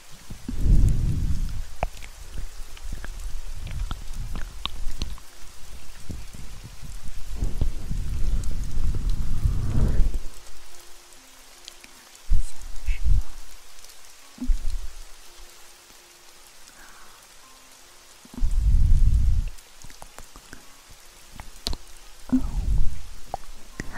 是吗？嗯。嗯。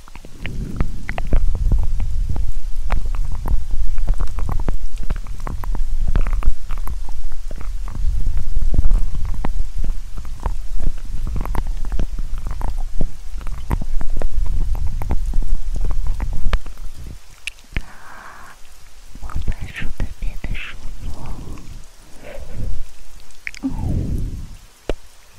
我发出的变得舒服。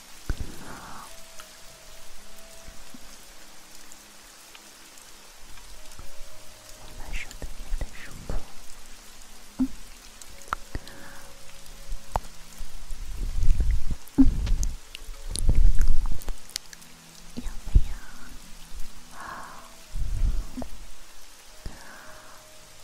好，我们说的别的什么？嗯，要不要？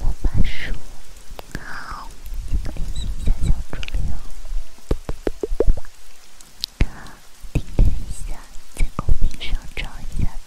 魔法书，好，记得联系一下小助理在公屏上找一下他。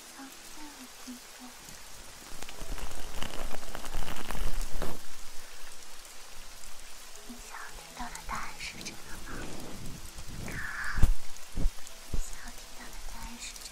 你想听到的答案是这个吗？你想听到的答案是这个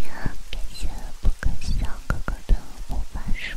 感谢不可笑哥哥的木板书。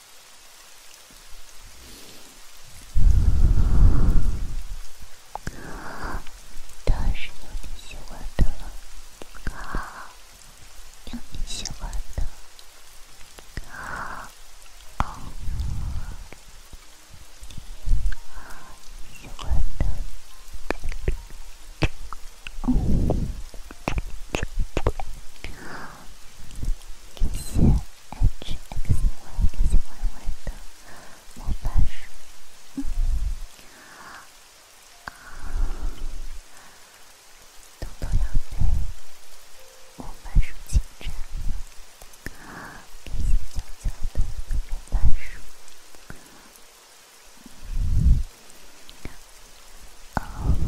好，但是有你喜欢的。好，有你喜欢的。好，哦，喜欢的，嗯，谢谢。h x y x y y 的魔法书，嗯，啊，豆豆要背魔法书清单，给些小小的魔法书，嗯，啊，谢谢豆豆。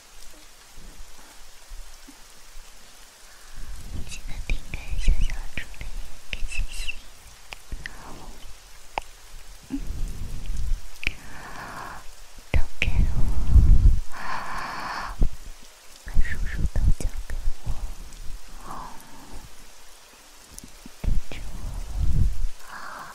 记得点个小小助力，给星星。嗯，都给我，把叔叔都交给我。跟着我。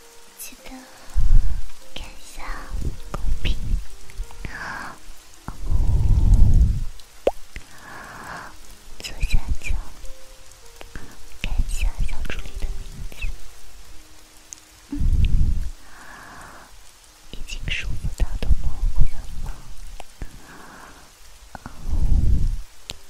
记得看一下公屏，左下角看一下小助理的名字。嗯，已经舒服到都模糊了吗？哦。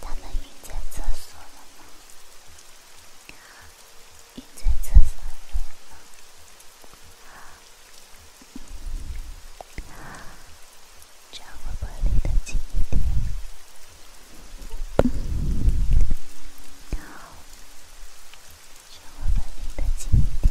他们晕在厕所了吗？晕在厕所了吗？这样会不会离得近一点？嗯，好，是我本命的今天。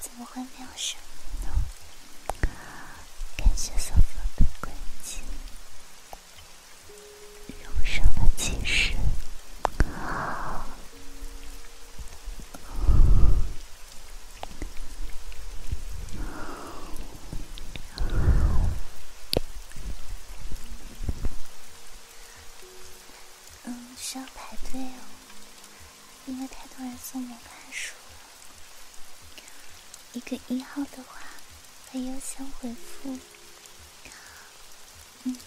怎么会没有声音呢？感谢所有的关心，用上了骑士。嗯，需要排队哦。因为太多人送我看书了，一个一号的话会优先回复，嗯，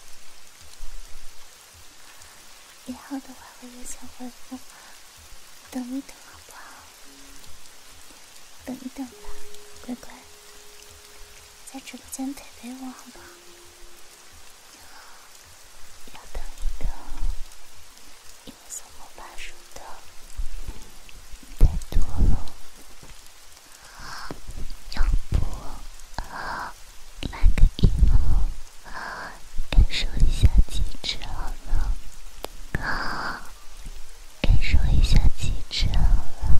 一号的话会优先回复，等一等好不好？等一等吧，乖乖，在直播间陪陪我好不好？要等你的，运送魔法书的太多了。啊，要不啊，来个以后啊，感受一下极致好了。啊，感受一下极致好了。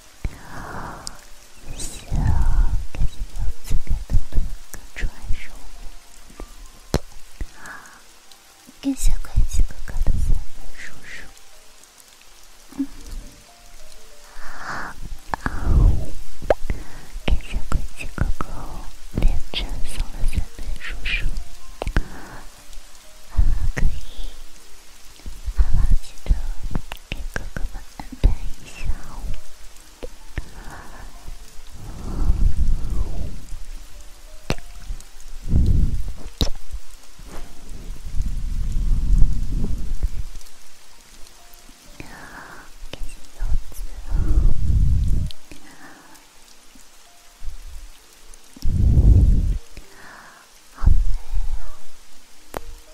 好，谢谢关机哥哥的三本叔叔。好，感谢关机哥哥的三本叔叔。嗯，好，感谢关机哥哥连着送了三本叔叔。啊，可以，好，知道。给哥哥等一下。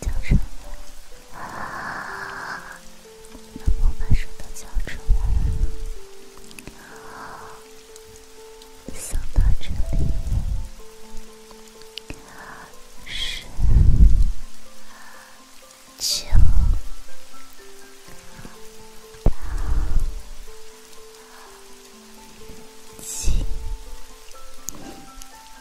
交出来！那我把手都交出来。数到这里是九八七。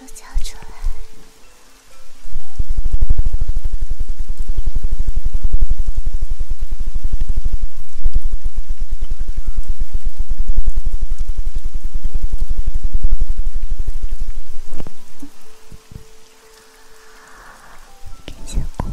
都交出来！感谢感谢我们。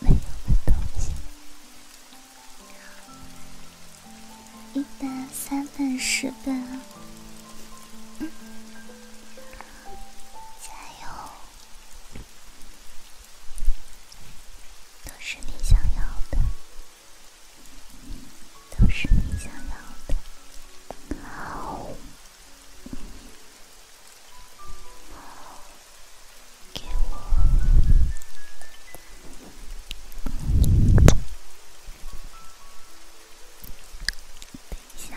没有的东西，一本、三本、十本，还有都是你想要的，都是你想要的，好。给我。等一下。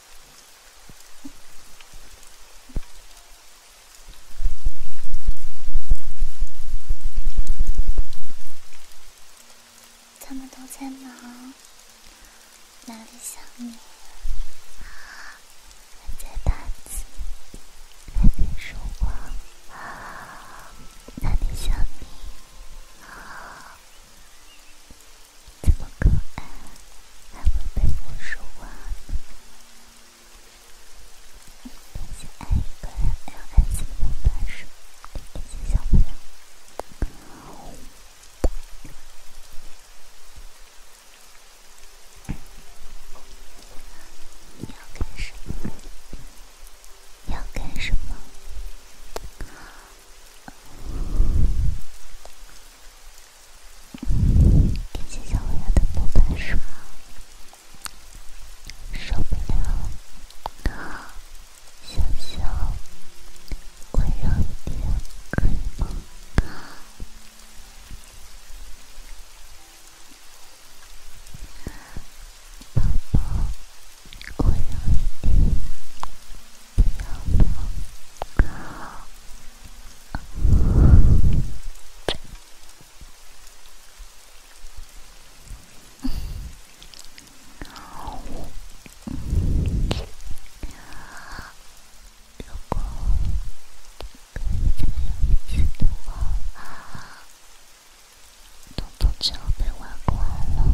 他们都在忙，哪里想你？在大自海边守望，哪里想你？这么可爱。l s m s 十五啊，点击爱一个 l s m s 十五，点击小朋友，要干什么？要干什么？感谢小蜗牛的陪伴，是吗？受不了，好，小小，温柔一点，可以吗？好，宝宝，温柔一点，不要。如果这样的话，东东就要被外挂了。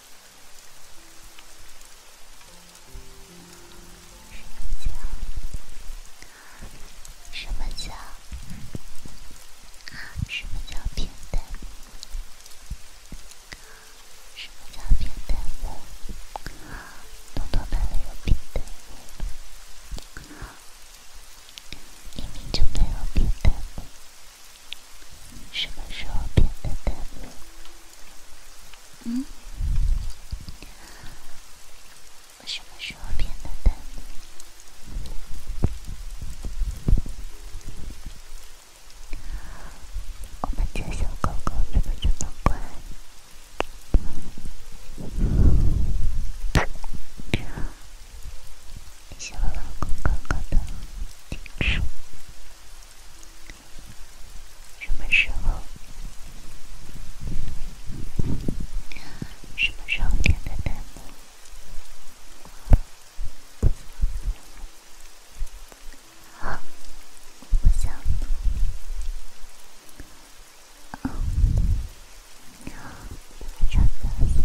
什么叫？什么叫？什么叫平等？什么叫平等？彤彤都里有平等，明明就没有平等。什么时候变得笨？嗯？我什么时候变得笨？我们家小狗狗怎么这么乖？谢谢我老公刚刚的叮嘱。什么时候？什么时候点的弹幕？好，我想你。啊，你长得像别人。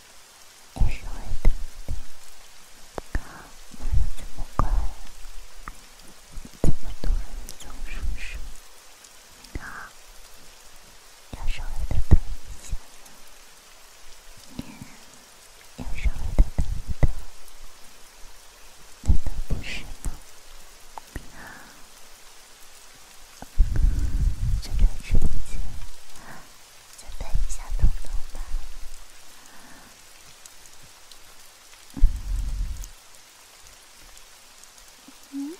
也是为了，怎么这么快？这么多人在说说，你好，也是为了等一下，也是为了等你等，难道不是吗？你好。正在吃东西，准备一下彤彤吧。嗯。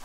好。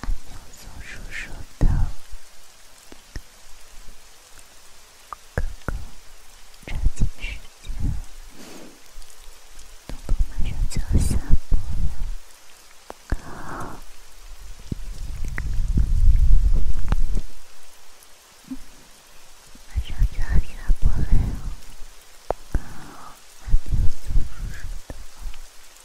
阿喵松鼠说的，哥哥抓紧时间，东部马上就要下播了，马上就要下播了，阿喵松鼠说的。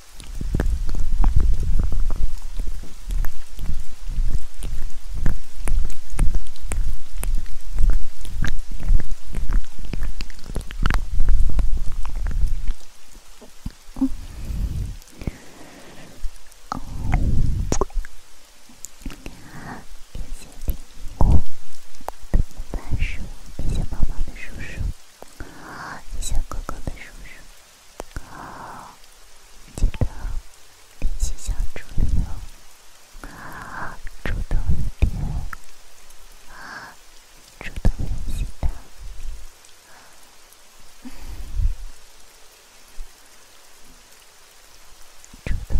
哦哦，谢谢丁工的魔术，谢谢宝宝的叔叔。小哥哥的叔叔，记得联系小助理哦，主动一点，主动联系他，主动一点点。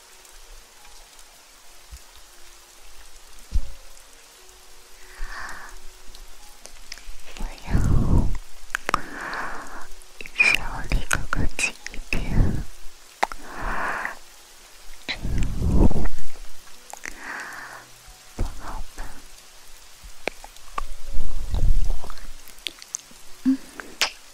不要，想要离哥哥近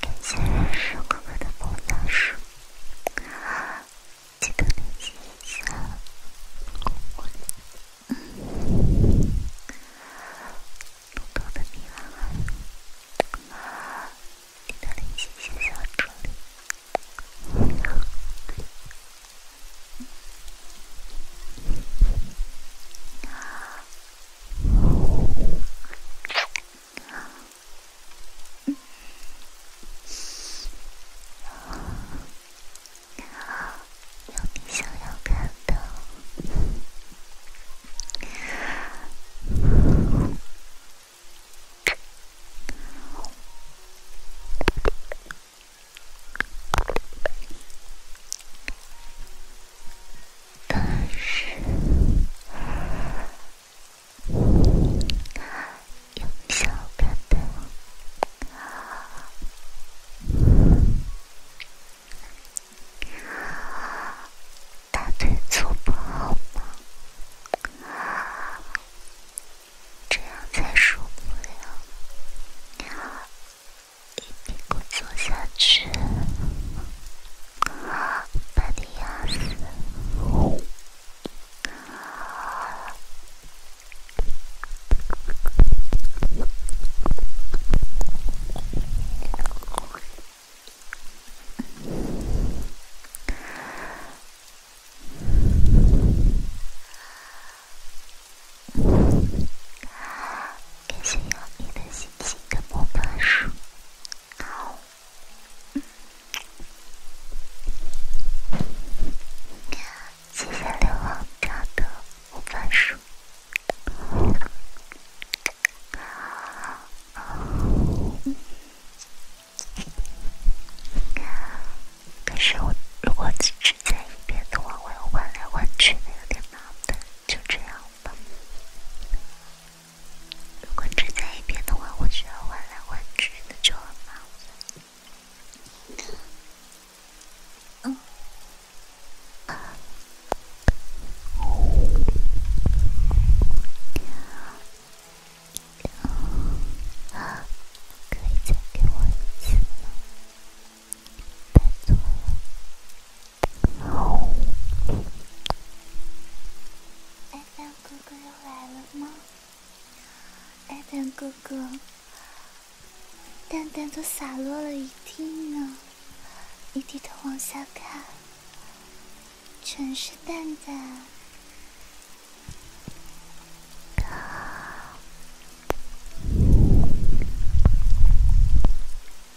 感谢认识哥哥的萌大叔，记得联系一下。嗯，露头的你啊，记得联系一下小助理。有，有，有你让我感动。但是。用手大腿，大腿坐不好吗？这样才受不了，一屁股坐下去。啊，马蒂奥斯，啊，感谢你的星星跟魔法树。好，谢谢流浪者的番薯。可是我如果只在一边的话，我要弯来弯去的，有点麻烦。就这样吧。如果只在一边的话，我需要换来换去，那就很麻烦。嗯，可以再给我一次吗？拜托了。蛋蛋哥哥又来了吗？蛋蛋哥哥，蛋蛋都洒落了一地呢，你低头往下看，全是蛋蛋。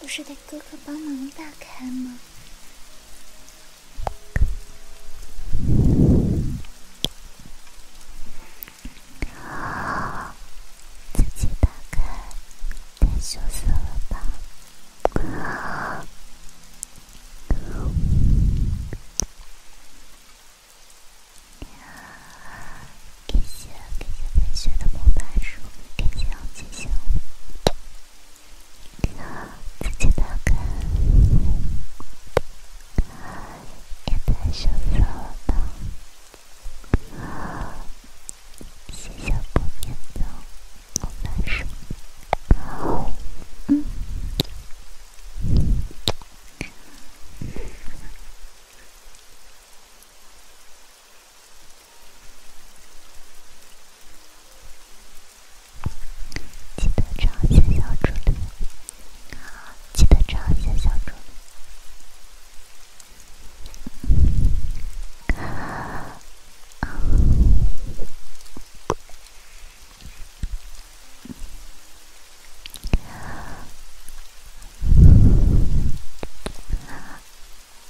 不是得哥哥帮忙打开吗？自己打开，羞了吧？给些给些同学的蒙版书，给些要进行给他自己的给他手抄的写下名字蒙版书，好，嗯。记得找小助理。记得找小助理。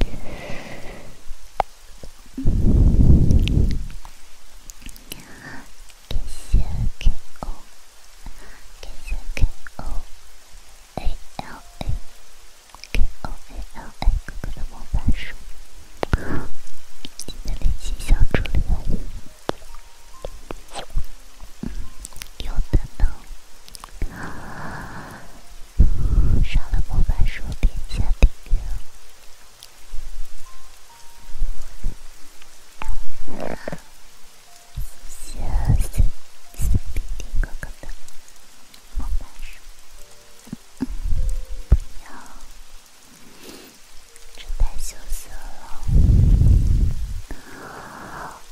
K S K O K S K O A L A K O A L A，各种魔法书，记得联系小助理哦。有的呢。上了魔法树，点一下订阅。羞涩，是 B D 哥哥的魔法树。嗯，不要，这太羞涩了。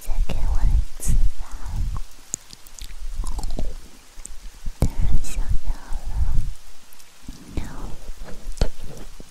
再给我一次吧，当然想要了。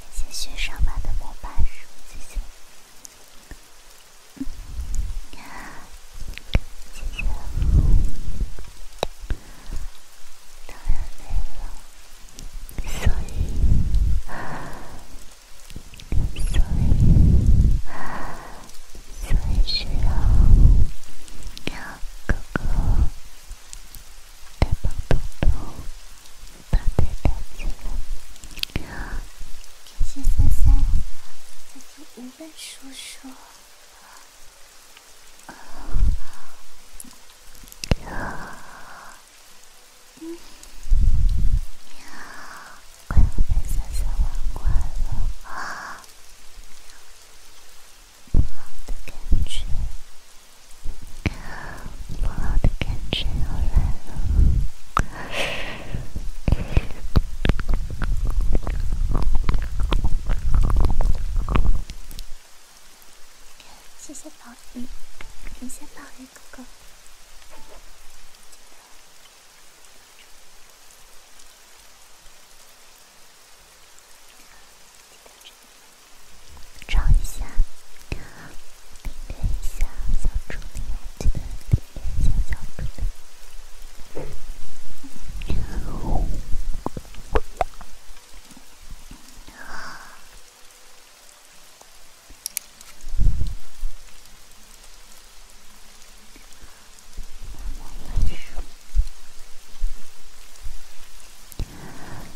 感谢雪上马的模板书，谢谢，谢谢，当然累了，所以，所以，所以需要哥哥来帮豆豆。太单纯了，感谢三三，再听吴越叔叔，喵，快要被三三融化了，喵的感觉。我的感觉，谢谢宝雨，感谢宝雨哥哥。唱一下，练练一下小猪，你记得练一下小猪的。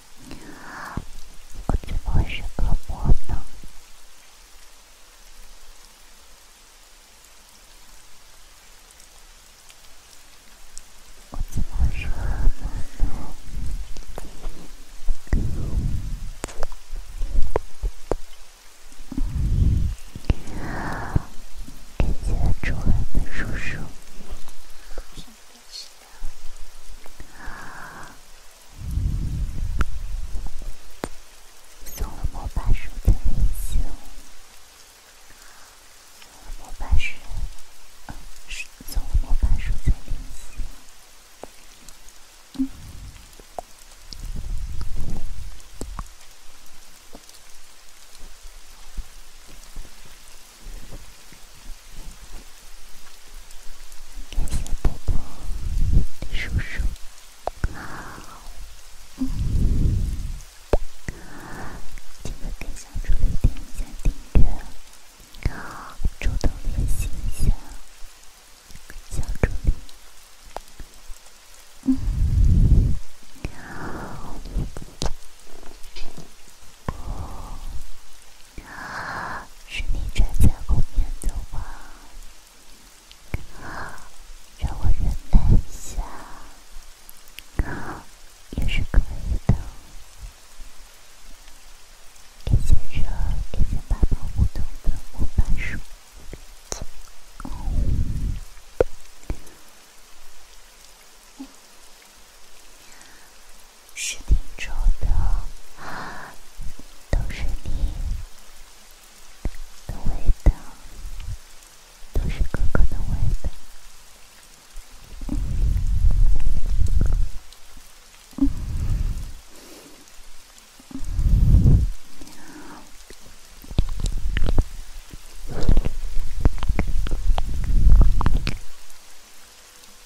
我怎么是个梦呢？我怎么是梦呢？感谢猪孩子叔叔。送了魔法树在微信，送了魔法树，嗯，是送了魔法树在微信吗？嗯。感谢婆婆、李叔叔，好，嗯，记得给小助理点一下订阅，主动练习一下，小助理，嗯，你好。不，是你站在后面走吧，让我忍耐一下也是可以的。感谢着，感谢八宝屋的粉墨板书。是挺臭的，都是你，的味道，都是哥哥的味道。